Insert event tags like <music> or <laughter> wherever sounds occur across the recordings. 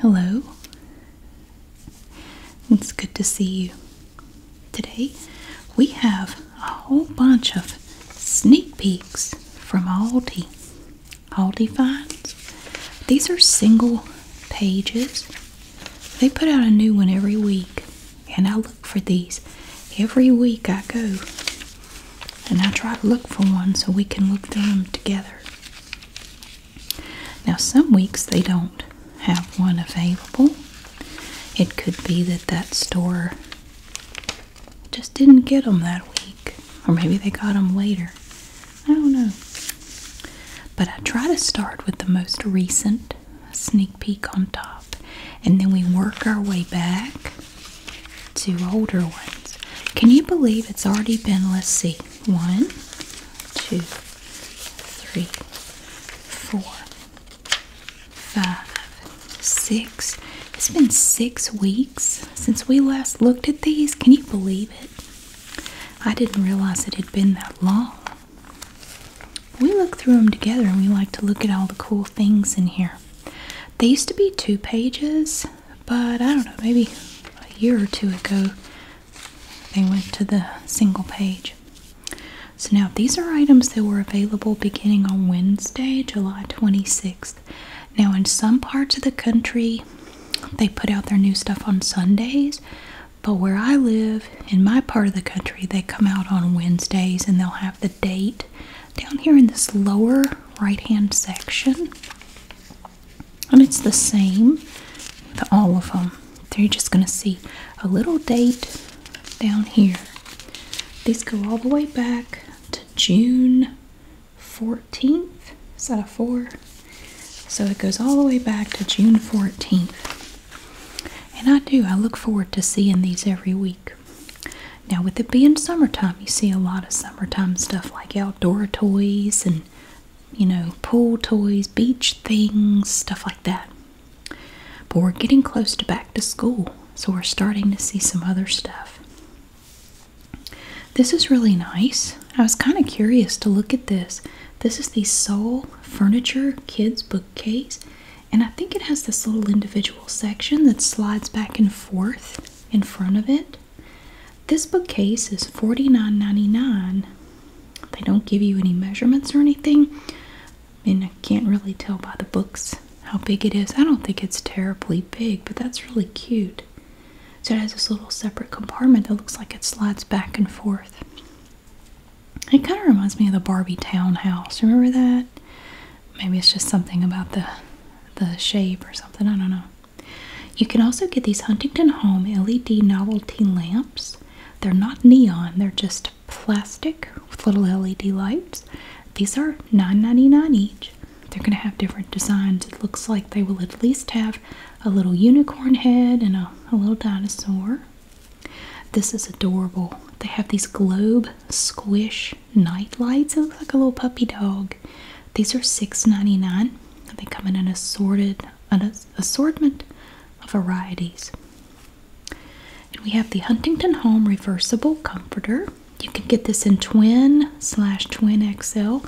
Hello. It's good to see you. Today we have a whole bunch of sneak peeks from Aldi. Aldi finds. These are single pages. They put out a new one every week, and I look for these. Every week I go and I try to look for one so we can look through them together. Now, some weeks they don't have one available. It could be that that store just didn't get them that week, or maybe they got them later. I don't know. But I try to start with the most recent sneak peek on top, and then we work our way back to older ones. Can you believe it's already been, let's see, one, two, three, four, five, six. It's been six weeks since we last looked at these. Can you believe it? I didn't realize it had been that long. We look through them together and we like to look at all the cool things in here. They used to be two pages, but I don't know, maybe a year or two ago they went to the single page. So now these are items that were available beginning on Wednesday, July 26th. Now in some parts of the country they put out their new stuff on Sundays, but where I live, in my part of the country, they come out on Wednesdays and they'll have the date down here in this lower right hand section. And it's the same with all of them. They're just going to see a little date down here. These go all the way back to June 14th. Is that a four? So it goes all the way back to June 14th. And I do, I look forward to seeing these every week. Now, with it being summertime, you see a lot of summertime stuff like outdoor toys and, you know, pool toys, beach things, stuff like that. But we're getting close to back to school, so we're starting to see some other stuff. This is really nice. I was kind of curious to look at this. This is the Soul Furniture Kids Bookcase, and I think it has this little individual section that slides back and forth in front of it. This bookcase is $49.99. They don't give you any measurements or anything, and I can't really tell by the books how big it is. I don't think it's terribly big, but that's really cute. So it has this little separate compartment that looks like it slides back and forth. It kind of reminds me of the Barbie townhouse. Remember that? Maybe it's just something about the the shape or something. I don't know. You can also get these Huntington Home LED novelty lamps. They're not neon, they're just plastic with little LED lights. These are $9.99 each. They're going to have different designs. It looks like they will at least have a little unicorn head and a, little dinosaur. This is adorable. They have these globe squish night lights. It looks like a little puppy dog. These are $6.99. They come in an assorted an assortment of varieties. And we have the Huntington Home Reversible Comforter. You can get this in twin slash twin XL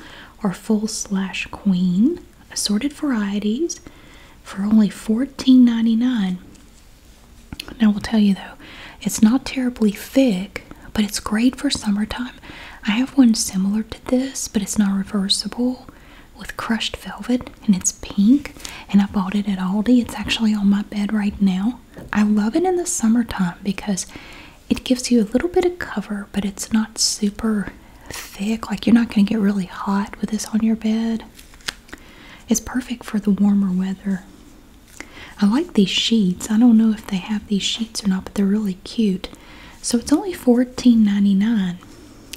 or full slash queen assorted varieties for only $14.99. Now, we'll tell you though, it's not terribly thick, but it's great for summertime. I have one similar to this, but it's not reversible with crushed velvet and it's pink. And I bought it at Aldi. It's actually on my bed right now. I love it in the summertime because it gives you a little bit of cover, but it's not super thick, like you're not going to get really hot with this on your bed. It's perfect for the warmer weather. I like these sheets. I don't know if they have these sheets or not, but they're really cute. So it's only $14.99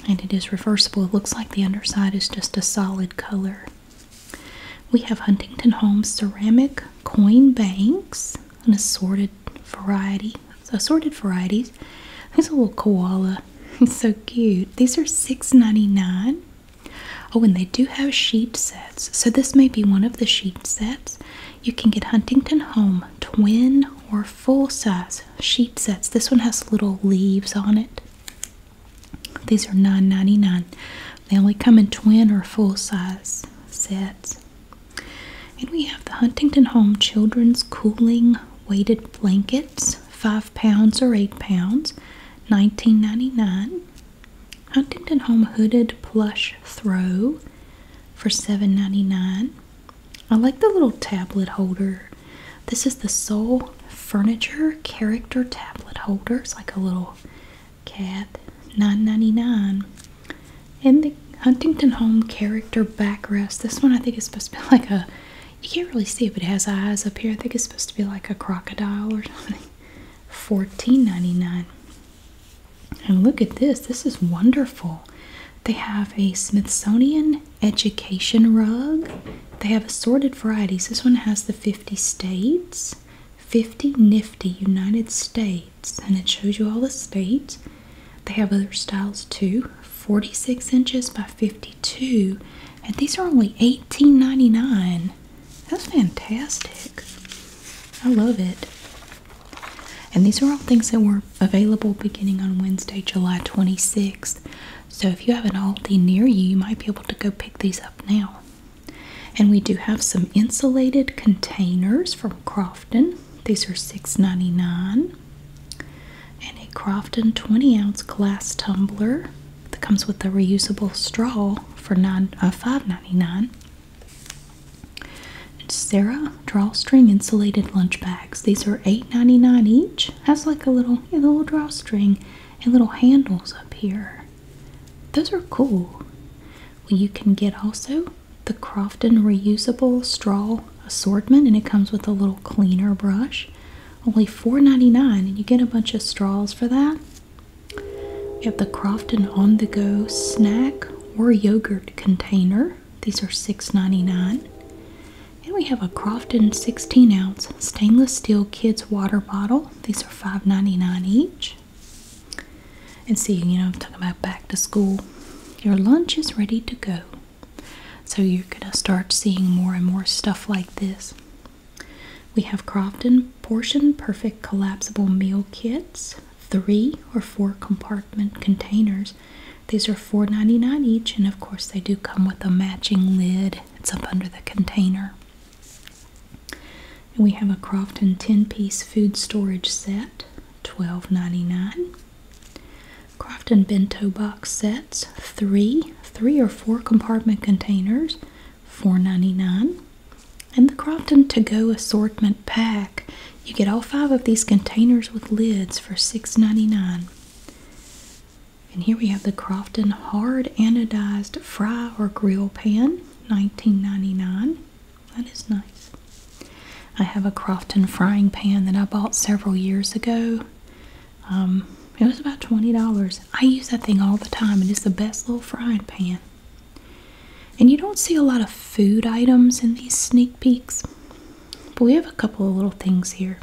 and it is reversible. It looks like the underside is just a solid color. We have Huntington Homes ceramic coin banks an assorted variety, assorted varieties. There's a little koala. He's <laughs> so cute. These are six ninety nine. Oh, and they do have sheet sets. So this may be one of the sheet sets. You can get Huntington Home twin or full size sheet sets. This one has little leaves on it. These are nine ninety nine. They only come in twin or full size sets. And we have the Huntington Home Children's Cooling Weighted Blankets, five pounds or eight pounds, nineteen ninety nine. Huntington Home Hooded Plush Throw for seven ninety nine. I like the little tablet holder. This is the Soul Furniture Character Tablet Holder. It's like a little cat. nine ninety nine. And the Huntington Home character backrest. This one I think is supposed to be like a you can't really see it, but it has eyes up here. I think it's supposed to be like a crocodile or something. $14.99. And look at this. This is wonderful. They have a Smithsonian education rug. They have assorted varieties. This one has the 50 states, 50 nifty United States, and it shows you all the states. They have other styles too 46 inches by 52, and these are only $18.99. That's fantastic. I love it. And these are all things that were available beginning on Wednesday, July 26. So if you have an Aldi near you, you might be able to go pick these up now. And we do have some insulated containers from Crofton. These are $6.99. And a Crofton 20 ounce glass tumbler that comes with a reusable straw for nine, uh, $5.99. Sarah drawstring insulated lunch bags. These are $8.99 each. Has like a little, a little drawstring and little handles up here. Those are cool. What you can get also the Crofton reusable straw assortment and it comes with a little cleaner brush. Only $4.99 and you get a bunch of straws for that. We have the Crofton on the go snack or yogurt container. These are $6.99. And we have a Crofton 16 ounce stainless steel kids water bottle. These are $5.99 each. And see, you know, I'm talking about back to school. Your lunch is ready to go. So you're going to start seeing more and more stuff like this. We have Crofton Portion Perfect Collapsible Meal Kits, three or four compartment containers. These are $4.99 each, and of course, they do come with a matching lid. It's up under the container. we have a Crofton 10 piece food storage set, $12.99. Crofton bento box sets, three, three or four compartment containers, $4.99. And the Crofton To Go Assortment Pack. You get all five of these containers with lids for $6.99. And here we have the Crofton Hard Anodized Fry or Grill Pan, $19.99. That is nice. I have a Crofton frying pan that I bought several years ago. Um, it was about $20. I use that thing all the time, it's the best little frying pan. And you don't see a lot of food items in these sneak peeks, but we have a couple of little things here.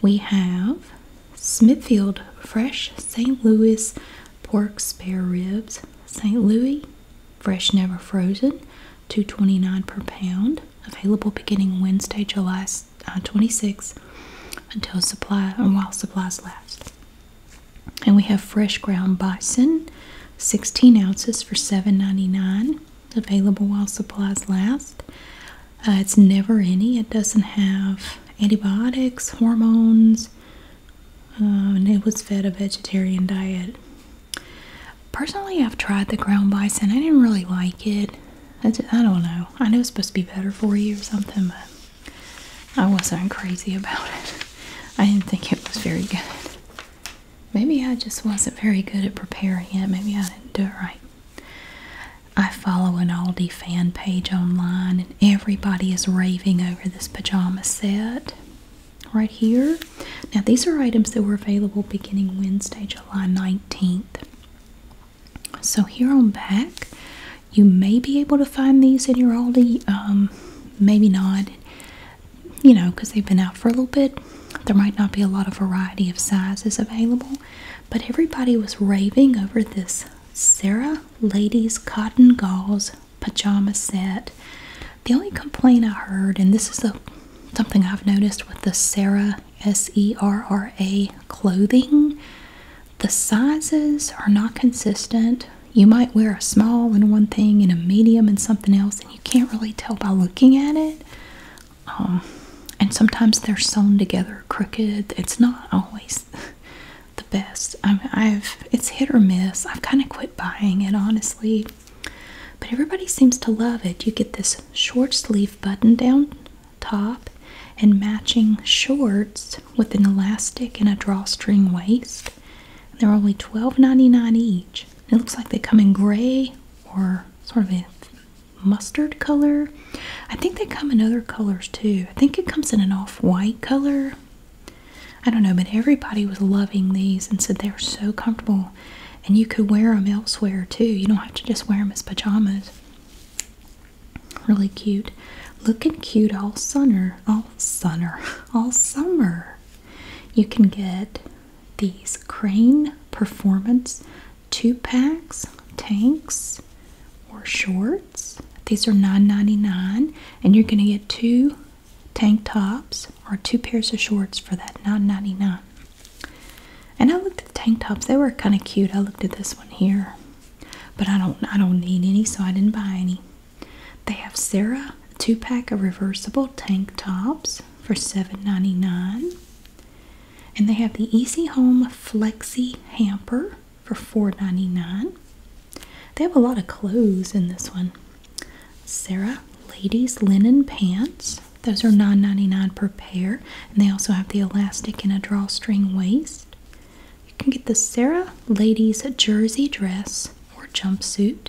We have Smithfield Fresh St. Louis Pork Spare Ribs, St. Louis fresh, never frozen, two twenty nine per pound. Available beginning Wednesday, July uh, twenty six, until supply and uh, while supplies last. And we have fresh ground bison, sixteen ounces for seven ninety nine. Available while supplies last. Uh, it's never any. It doesn't have antibiotics, hormones. Uh, and it was fed a vegetarian diet Personally, I've tried the ground bison. I didn't really like it. I, don't know. I know it's supposed to be better for you or something, but I wasn't crazy about it. I didn't think it was very good. Maybe I just wasn't very good at preparing it. Maybe I didn't do it right. I follow an Aldi fan page online, and everybody is raving over this pajama set right here. Now, these are items that were available beginning Wednesday, July 19th. So, here on back, you may be able to find these in your Aldi, um, maybe not, you know, because they've been out for a little bit. There might not be a lot of variety of sizes available, but everybody was raving over this Sarah Ladies Cotton Gauze pajama set the only complaint I heard, and this is something I've noticed with the Sarah S E R R A clothing, the sizes are not consistent. You might wear a small in one thing and a medium in something else, and you can't really tell by looking at it. Um, and sometimes they're sewn together crooked. It's not always the best. I mean, I've it's hit or miss. I've kind of quit buying it honestly. But everybody seems to love it. You get this short sleeve button down top and matching shorts with an elastic and a drawstring waist. they're only $12.99 each. it looks like they come in gray or sort of a mustard color. I think they come in other colors too. I think it comes in an off white color. I don't know, but everybody was loving these and said they were so comfortable and you could wear them elsewhere too. You don't have to just wear them as pajamas. Really cute. Looking cute all summer, all summer, <laughs> all summer. You can get these Crane Performance two packs, tanks, or shorts. These are $9.99 and you're going to get two tank tops or two pairs of shorts for that $9.99. And I looked at the tank tops; they were kind of cute. I looked at this one here, but I don't I don't need any, so I didn't buy any. They have Sarah two pack of reversible tank tops for $7.99. And they have the Easy Home Flexi Hamper for $4.99. They have a lot of clothes in this one. Sarah ladies linen pants. Those are $9.99 per pair, and they also have the elastic and a drawstring waist. You can get the Sarah ladies jersey dress or jumpsuit.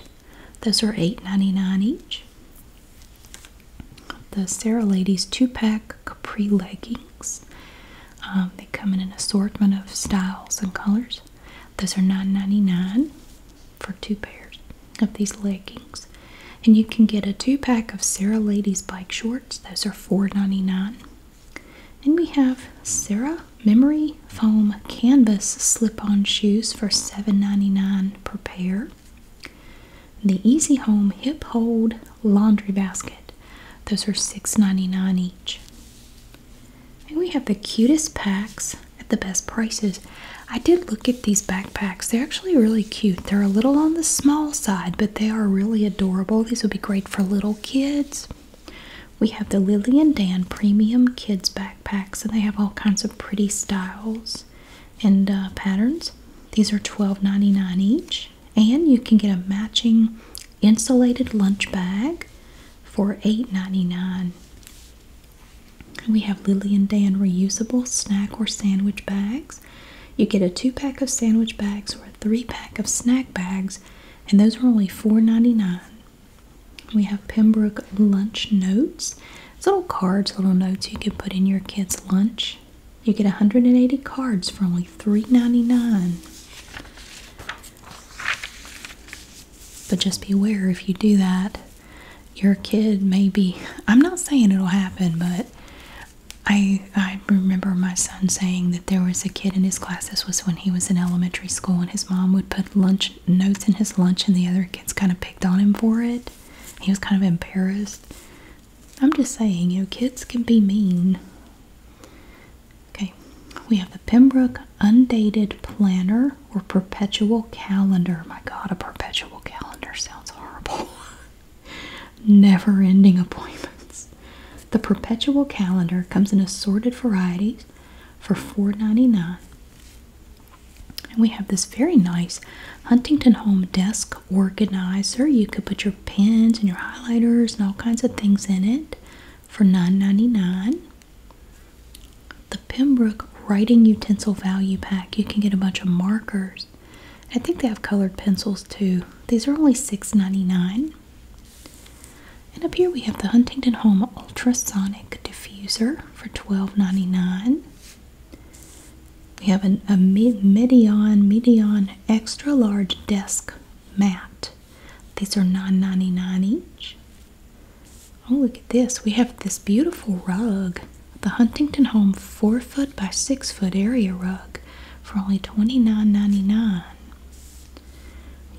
Those are $8.99 each. The Sarah ladies two-pack capri leggings. Um, they come in an assortment of styles and colors. Those are $9.99 for two pairs of these leggings. And you can get a two pack of Sarah Ladies bike shorts. Those are $4.99. And we have Sarah Memory Foam Canvas slip on shoes for $7.99 per pair. The Easy Home Hip Hold Laundry Basket. Those are $6.99 each. And we have the cutest packs at the best prices. I did look at these backpacks. They're actually really cute. They're a little on the small side, but they are really adorable. These would be great for little kids. We have the Lily and Dan Premium Kids Backpacks, and they have all kinds of pretty styles and uh, patterns. These are $12.99 each, and you can get a matching insulated lunch bag for $8.99. We have Lily and Dan reusable snack or sandwich bags. You get a two pack of sandwich bags or a three pack of snack bags, and those are only $4.99. We have Pembroke lunch notes. It's little cards, little notes you can put in your kids' lunch. You get 180 cards for only $3.99. But just beware if you do that, your kid maybe I'm not saying it'll happen, but I I remember my son saying that there was a kid in his class. This was when he was in elementary school, and his mom would put lunch notes in his lunch, and the other kids kind of picked on him for it. He was kind of embarrassed. I'm just saying, you know, kids can be mean. Okay, we have the Pembroke Undated Planner or perpetual calendar. My God, a perpetual calendar sounds horrible. <laughs> Never ending appointments. The perpetual calendar comes in assorted varieties for four ninety-nine. And we have this very nice Huntington Home desk organizer. You could put your pens and your highlighters and all kinds of things in it for nine ninety-nine. dollars the Pembroke Writing Utensil Value Pack. You can get a bunch of markers. I think they have colored pencils too. These are only $6.99. And up here we have the Huntington Home Ultrasonic Diffuser for $12.99. We have a Medion, Medion Extra Large Desk Mat. These are $9.99 each. Oh, look at this. We have this beautiful rug. The Huntington Home 4 foot by 6 foot area rug for only twenty nine ninety nine.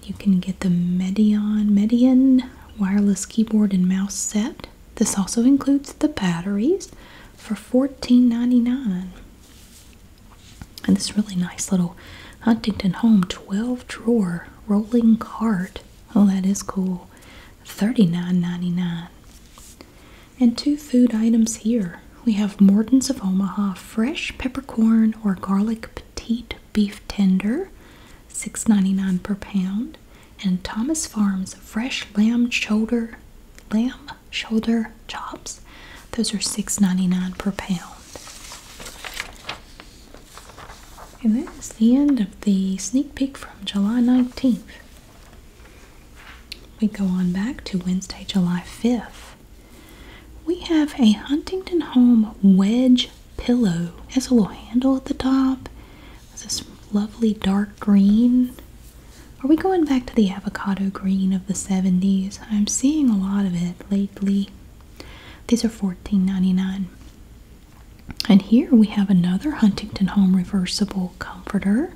You can get the Medion Median wireless keyboard and mouse set. This also includes the batteries for fourteen ninety nine. And this really nice little Huntington Home 12 drawer rolling cart Oh, that is cool. $39.99. And two food items here. We have Morton's of Omaha fresh peppercorn or garlic petite beef tender, $6.99 per pound, and Thomas Farms fresh lamb shoulder, lamb shoulder chops. Those are $6.99 per pound. And that is the end of the sneak peek from July 19th. We go on back to Wednesday, July 5th. We have a Huntington Home wedge pillow. has a little handle at the top. It's this lovely dark green. Are we going back to the avocado green of the 70s? I'm seeing a lot of it lately. These are $14.99. And here we have another Huntington Home reversible comforter,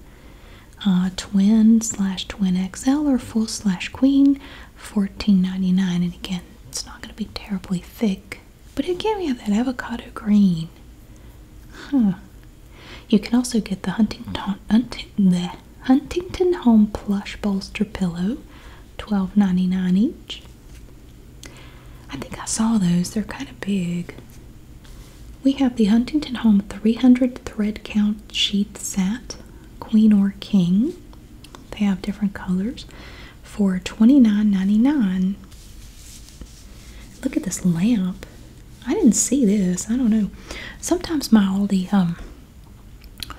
uh, twin slash twin XL or full slash queen, fourteen ninety nine. And again, it's not going to be terribly thick, but again, we have that avocado green. Huh. You can also get the Huntington, Hunting, the Huntington Home plush bolster pillow, twelve ninety nine each. I think I saw those. They're kind of big. We have the Huntington Home 300 thread count sheet set, queen or king. They have different colors for twenty nine ninety nine. Look at this lamp. I didn't see this. I don't know. Sometimes my Aldi, um,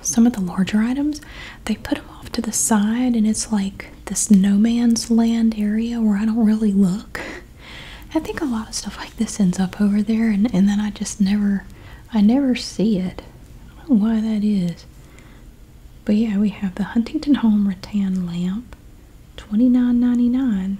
some of the larger items, they put them off to the side and it's like this no man's land area where I don't really look. I think a lot of stuff like this ends up over there and, then I just never I never see it. I don't know why that is. But yeah, we have the Huntington Home rattan lamp, twenty nine ninety nine.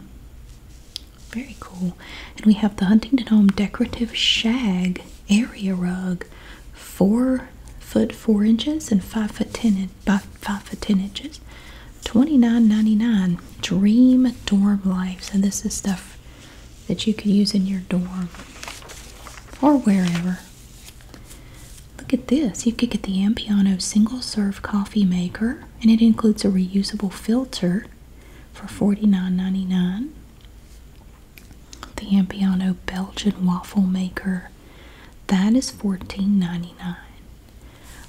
Very cool. And we have the Huntington Home decorative shag area rug, for foot four inches and five foot ten in, by five foot ten inches. twenty nine ninety nine. Dream Dorm lives, and this is stuff that you could use in your dorm or wherever. Look at this. You could get the Ampiano single serve coffee maker and it includes a reusable filter for forty nine ninety nine. The Ampiano Belgian waffle maker that is $14.99.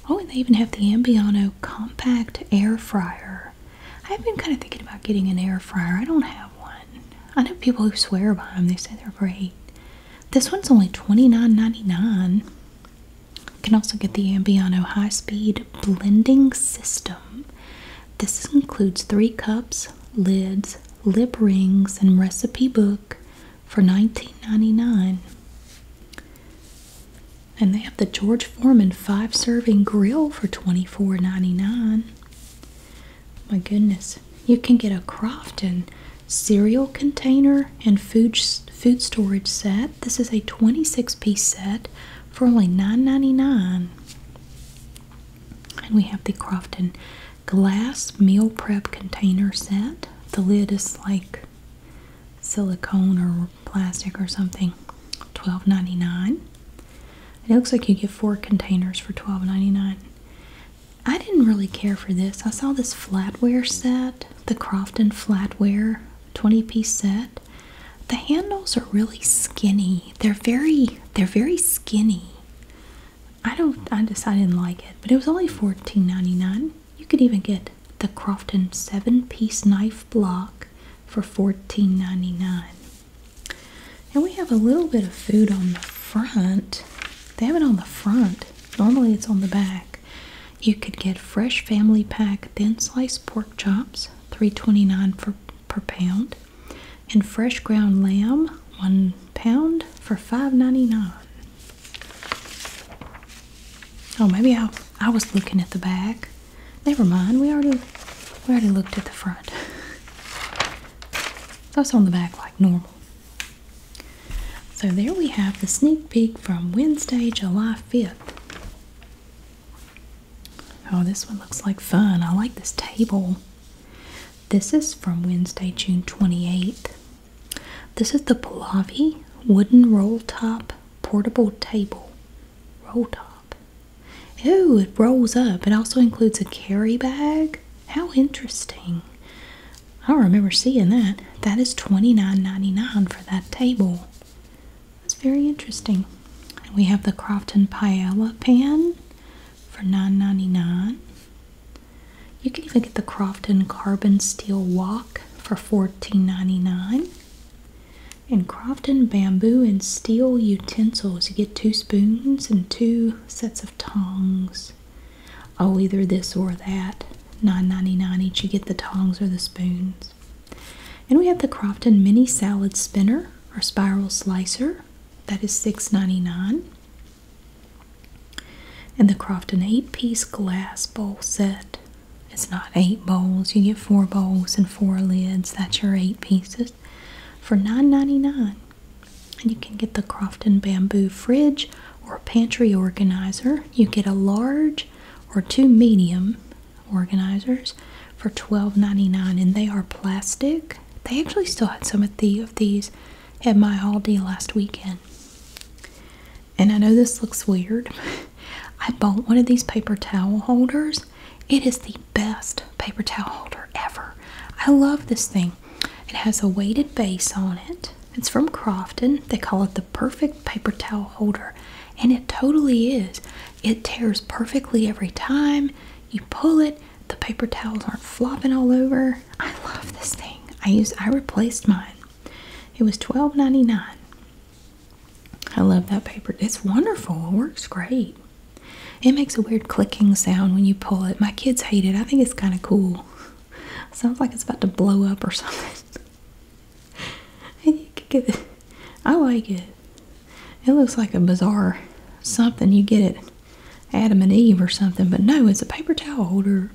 Oh, and they even have the Ambiano compact air fryer. I've been kind of thinking about getting an air fryer. I don't have one. I know people who swear by them. They say they're great. This one's only $29.99. You can also get the Ambiano high-speed blending system. This includes three cups, lids, lip rings, and recipe book for $19.99. And they have the George Foreman five serving grill for $24.99. My goodness, you can get a Crofton cereal container and food, food storage set. This is a 26 piece set for only $9.99. And we have the Crofton glass meal prep container set. The lid is like silicone or plastic or something. $12.99. It looks like you get four containers for $12.99. I didn't really care for this. I saw this flatware set, the Crofton flatware 20 piece set. The handles are really skinny. They're very they're very skinny. I don't I just I didn't like it, but it was only $14.99. You could even get the Crofton seven-piece knife block for $14.99. And we have a little bit of food on the front. They have it on the front. Normally it's on the back. You could get fresh family pack thin sliced pork chops, $3.29 for per pound, and fresh ground lamb, one pound for $5.99. Oh, maybe I I was looking at the back. Never mind. We already we already looked at the front. <laughs> That's on the back like normal. So there we have the sneak peek from Wednesday, July 5th. Oh, this one looks like fun. I like this table. This is from Wednesday, June 28th. This is the Pahlavi wooden roll top portable table. Roll top. Oh, it rolls up. It also includes a carry bag. How interesting. I don't remember seeing that. That is $29.99 for that table. That's very interesting. we have the Crofton Paella pan for $9.99. You can even get the Crofton Carbon Steel Wok for $14.99. And Crofton Bamboo and Steel Utensils. You get two spoons and two sets of tongs. Oh, either this or that. $9.99 each. You get the tongs or the spoons. And we have the Crofton Mini Salad Spinner or Spiral Slicer. That is $6.99. And the Crofton eight piece glass bowl set. It's not eight bowls, you get four bowls and four lids. That's your eight pieces for $9.99. And you can get the Crofton bamboo fridge or pantry organizer. You get a large or two medium organizers for $12.99 and they are plastic. They actually still had some of of these at my Aldi last weekend. And I know this looks weird. <laughs> I bought one of these paper towel holders. It is the best paper towel holder ever. I love this thing. It has a weighted base on it. It's from Crofton. They call it the perfect paper towel holder. And it totally is. It tears perfectly every time. You pull it, the paper towels aren't flopping all over. I love this thing. I use I replaced mine. It was $12.99. I love that paper. It's wonderful. It works great. It makes a weird clicking sound when you pull it. My kids hate it. I think it's kind of cool. Sounds like it's about to blow up or <laughs> something. I like it. It looks like a bizarre something. You get it Adam and Eve or something, but no, it's a paper towel holder.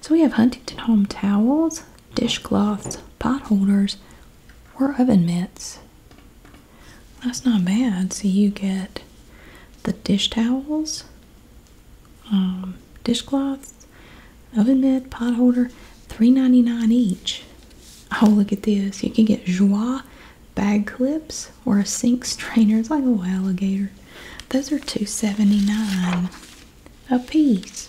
So we have Huntington Home towels, dishcloths, pot holders, or oven mitts. That's not bad. So you get the dish towels, um, dishcloths, oven mitt, pot holder, $3.99 each. Oh, look at this. You can get joie bag clips or a sink strainer. It's like a alligator. Those are two seventy-nine a piece.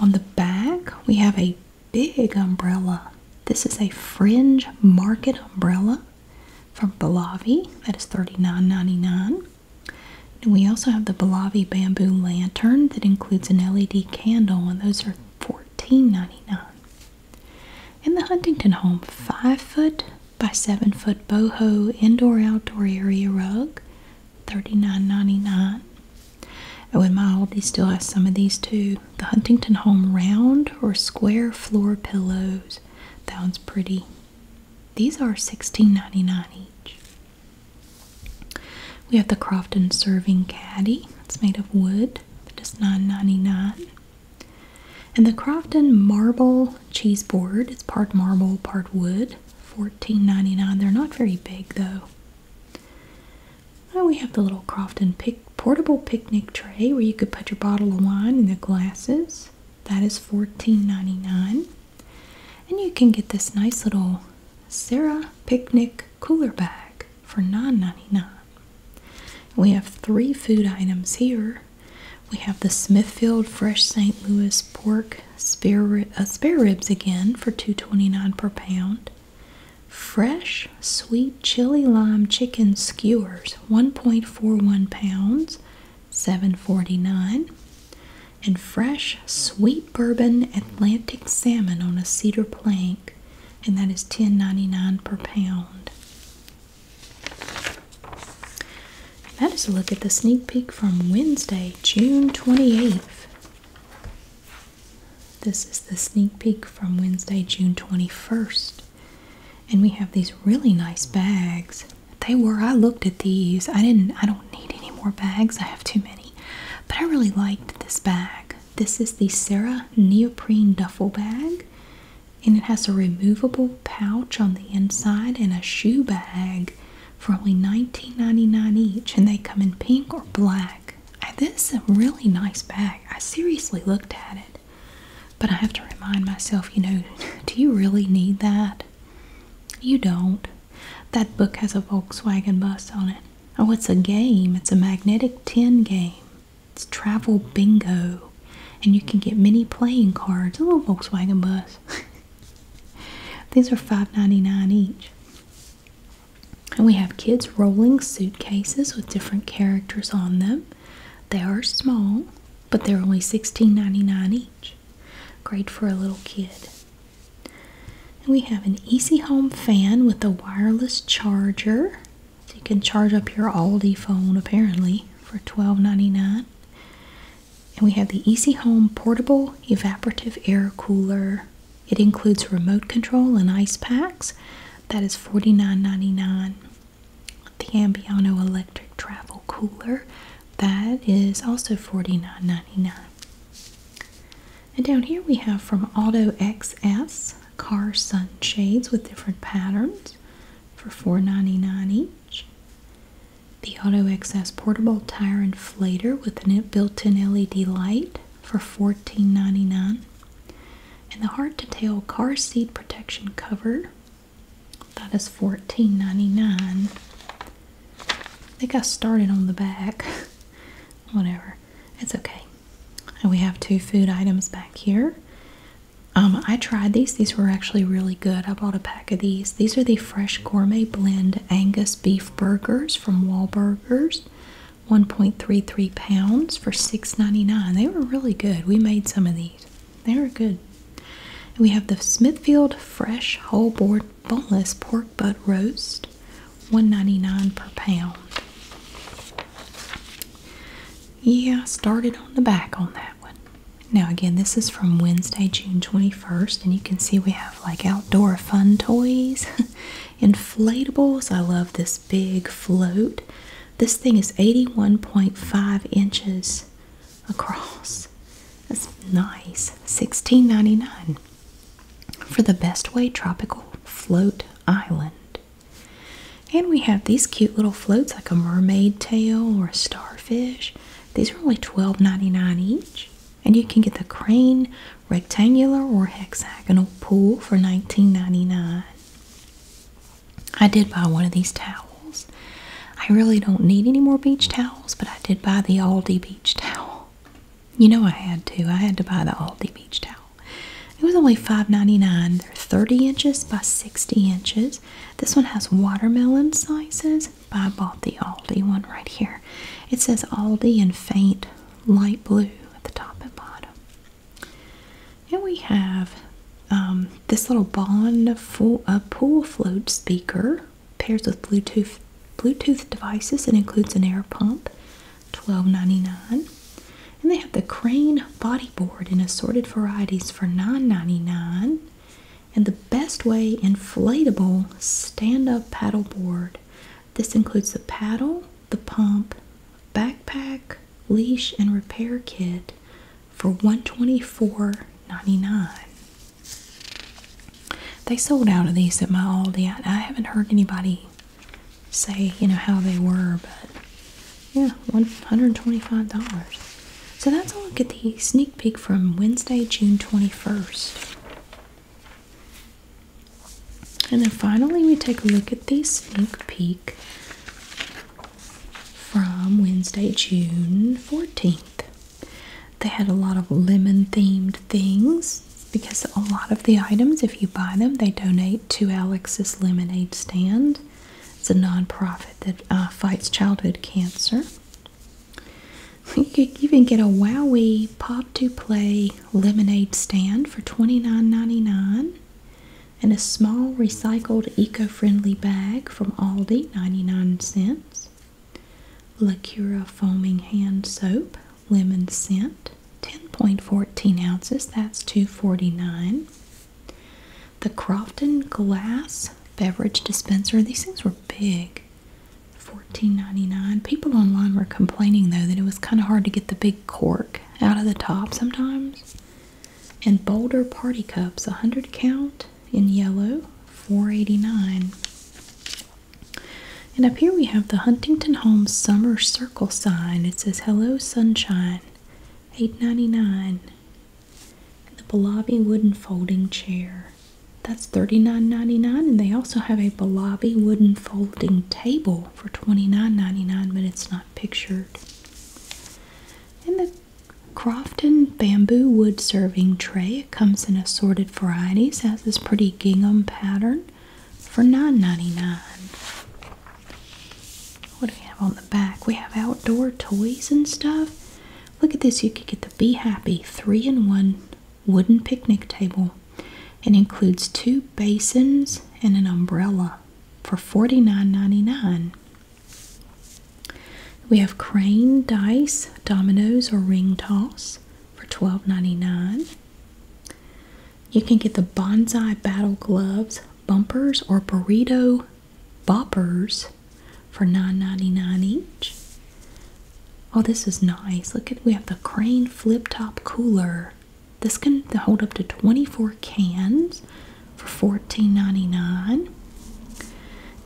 On the back, we have a big umbrella. This is a fringe market umbrella from Balavi. thats thirty-nine ninety-nine. we also have the Balavi bamboo lantern that includes an LED candle, and those are fourteen ninety-nine. In the Huntington home, five foot by 7 foot boho indoor outdoor area rug $39.99 oh and my oldie still has some of these too the huntington home round or square floor pillows that one's pretty these are $16.99 each we have the crofton serving caddy it's made of wood that is $9.99 and the Crofton marble cheese board, it's part marble, part wood, fourteen They're not very big though. we have the little Crofton portable picnic tray where you could put your bottle of wine and the glasses. thats fourteen ninety nine. And you can get this nice little Sarah picnic cooler bag for nine ninety nine. We have three food items here we have the Smithfield Fresh St. Louis pork uh, spare, ribs again for two twenty-nine per pound. Fresh sweet chili lime chicken skewers, £one41 one pounds, seven forty-nine, And fresh sweet bourbon Atlantic salmon on a cedar plank, and thats ten ninety-nine per pound that is a look at the sneak peek from Wednesday, June 28th. This is the sneak peek from Wednesday, June 21st. And we have these really nice bags. They were, I looked at these. I didn't, I don't need any more bags. I have too many. But I really liked this bag. This is the Sarah Neoprene Duffel Bag and it has a removable pouch on the inside and a shoe bag for only nineteen ninety nine each and they come in pink or black this is a really nice bag i seriously looked at it but i have to remind myself you know do you really need that you don't that book has a volkswagen bus on it oh it's a game it's a magnetic tin game it's travel bingo, and you can get mini playing cards. A little Volkswagen bus. <laughs> These are $5.99 each. And we have kids' rolling suitcases with different characters on them. They are small, but they're only $16.99 each. Great for a little kid. And we have an Easy Home fan with a wireless charger. So you can charge up your Aldi phone, apparently for $12.99. And we have the Easy Home Portable Evaporative Air Cooler. It includes remote control and ice packs. That is $49.99. The Ambiano Electric Travel Cooler. That is also $49.99. And down here we have from Auto XS car sunshades with different patterns for $4.99 range. The AutoXS Portable Tire Inflator with a built-in LED light for fourteen ninety nine, And the hard-to-tail car seat protection cover, thats fourteen ninety nine. I think I started on the back. <laughs> Whatever. It's okay. And we have two food items back here. Um, I tried these. These were actually really good. I bought a pack of these. These are the Fresh Gourmet Blend Angus Beef Burgers from Wahlburgers. 1.33 pounds for $6.99. They were really good. We made some of these. They were good. we have the Smithfield Fresh Whole Board Boneless Pork Butt Roast. $1.99 per pound. Yeah, I started on the back on that. Now, again, this is from Wednesday, June 21st, and you can see we have like outdoor fun toys, <laughs> inflatables. I love this big float. This thing is 81.5 inches across. That's nice. $16.99 for the Best Way Tropical Float Island. And we have these cute little floats like a mermaid tail or a starfish. These are only $12.99 each. And you can get the crane rectangular or hexagonal pool for $19.99. I did buy one of these towels. I really don't need any more beach towels, but I did buy the Aldi beach towel. You know I had to. I had to buy the Aldi beach towel. It was only $5.99. They're 30 inches by 60 inches. This one has watermelon sizes, but I bought the Aldi one right here. It says Aldi in faint light blue at the top and bottom. And we have um, this little Bond full, pool float speaker pairs with Bluetooth Bluetooth devices It includes an air pump, Twelve ninety nine. And they have the Crane fine bodyboard in assorted varieties for $9.99 and the best way inflatable stand-up paddleboard. This includes the paddle, the pump, backpack, leash, and repair kit for $124.99. They sold out of these at my Aldi. I haven't heard anybody say, you know, how they were, but yeah, $125. So that's a look at the sneak peek from Wednesday, June 21st. And then finally, we take a look at the sneak peek from Wednesday, June 14th. They had a lot of lemon themed things because a lot of the items, if you buy them, they donate to Alex's lemonade stand. It's a nonprofit that uh, fights childhood cancer. You can even get a Wowie Pop to Play lemonade stand for $29.99 and a small recycled eco-friendly bag from Aldi, 99 cents. La Cura foaming hand soap, lemon scent, 10.14 ounces, that's $2.49. The Crofton glass beverage dispenser. These things were big. $14.99. People online were complaining though that it was kind of hard to get the big cork out of the top sometimes. And Boulder Party Cups, a 100 count in yellow, $4.89. And up here we have the Huntington Homes Summer Circle sign. It says, Hello Sunshine, $8.99. The Balabi wooden folding chair. That's $39.99 and they also have a Balabi wooden folding table for $29.99 but it's not pictured. And the Crofton bamboo wood serving tray. It comes in assorted varieties. has this pretty gingham pattern for $9.99. What do we have on the back? We have outdoor toys and stuff. Look at this. You could get the Be Happy 3 in 1 wooden picnic table. It includes two basins and an umbrella for $49.99. We have crane, dice, dominoes, or ring toss for $12.99. You can get the bonsai battle gloves, bumpers, or burrito boppers for $9.99 each. Oh, this is nice. Look at we have the crane flip top cooler. This can hold up to 24 cans for $14.99.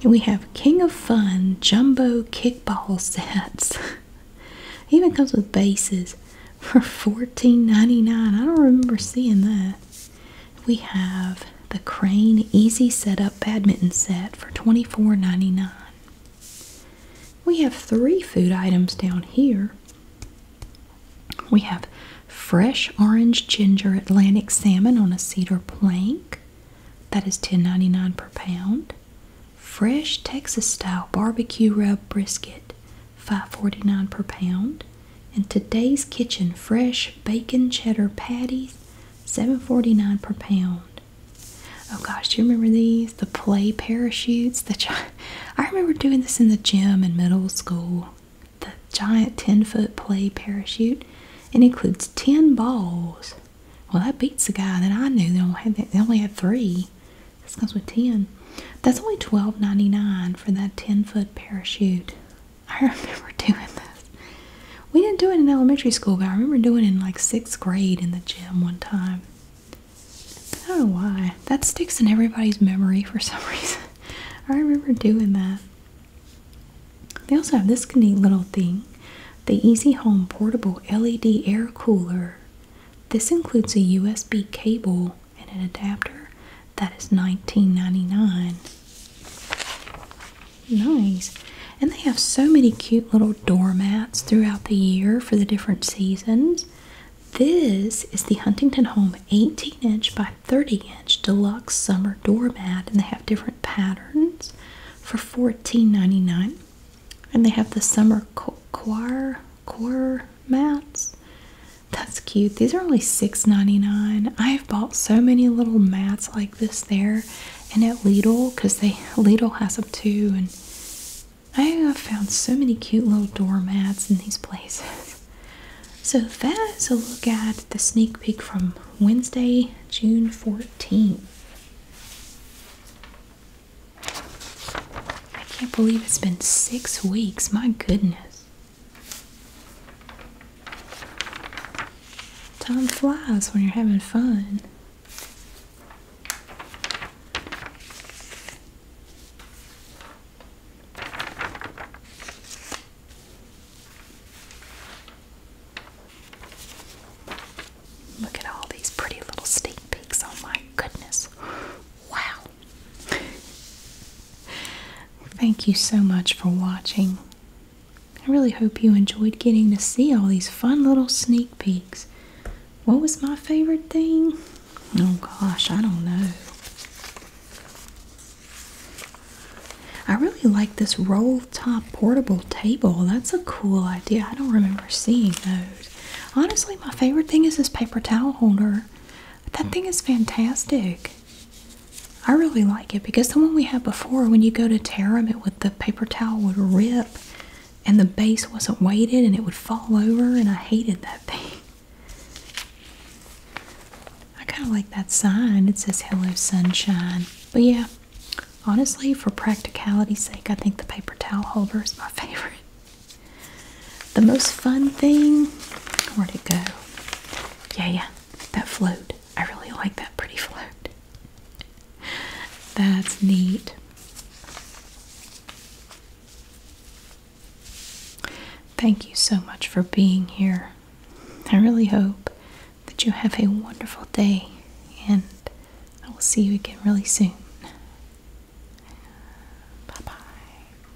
And we have King of Fun Jumbo Kickball <laughs> Sets. even comes with bases for $14.99. I don't remember seeing that we have the Crane Easy Setup Badminton Set for $24.99. We have three food items down here. We have fresh orange ginger Atlantic salmon on a cedar plank. That is $10.99 per pound. Fresh Texas style barbecue rub brisket, $5.49 per pound. In today's kitchen fresh bacon cheddar patties, seven forty nine per pound. Oh gosh, do you remember these? The play parachutes. The <laughs> I remember doing this in the gym in middle school. The giant 10 foot play parachute. It includes 10 balls. Well, that beats the guy that I knew. They only had, that. They only had three. This comes with 10. That's only twelve ninety nine for that 10 foot parachute. I remember <laughs> doing this. We didn't do it in elementary school, but I remember doing it in like sixth grade in the gym one time. I don't know why. That sticks in everybody's memory for <laughs> some reason. I remember doing that. They also have this neat little thing the Easy Home Portable LED Air Cooler. This includes a USB cable and an adapter. That is $19.99. Nice. And they have so many cute little doormats throughout the year for the different seasons. This is the Huntington Home 18 inch by 30 inch deluxe summer doormat, and they have different patterns for $14.99. And they have the summer choir, choir mats that's cute. These are only $6.99. I have bought so many little mats like this there and at Lidl because they <laughs> Lidl has them too. And I have found so many cute little doormats in these places. <laughs> So that is a look at the sneak peek from Wednesday, June 14th. I can't believe it's been six weeks. My goodness. Time flies when you're having fun. Look at all these pretty little sneak peeks. Oh my goodness. Wow. Thank you so much for watching. I really hope you enjoyed getting to see all these fun little sneak peeks. What was my favorite thing? Oh gosh, I don't know. I really like this roll top portable table. That's a cool idea. I don't remember seeing those. Honestly, my favorite thing is this paper towel holder. That hmm. thing is fantastic. I really like it because the one we had before, when you go to tear them, it with the paper towel would rip and the base wasn't weighted and it would fall over, and I hated that <laughs> thing. I kind of like that sign. It says Hello Sunshine. But yeah, honestly, for practicality's sake, I think the paper towel holder is my <laughs> favorite. The most fun thing, where'd it go? Yeah, yeah, that float. I really like that pretty float. That's neat. Thank you so much for being here. I really hope that you have a wonderful day, and I will see you again really soon. Bye bye.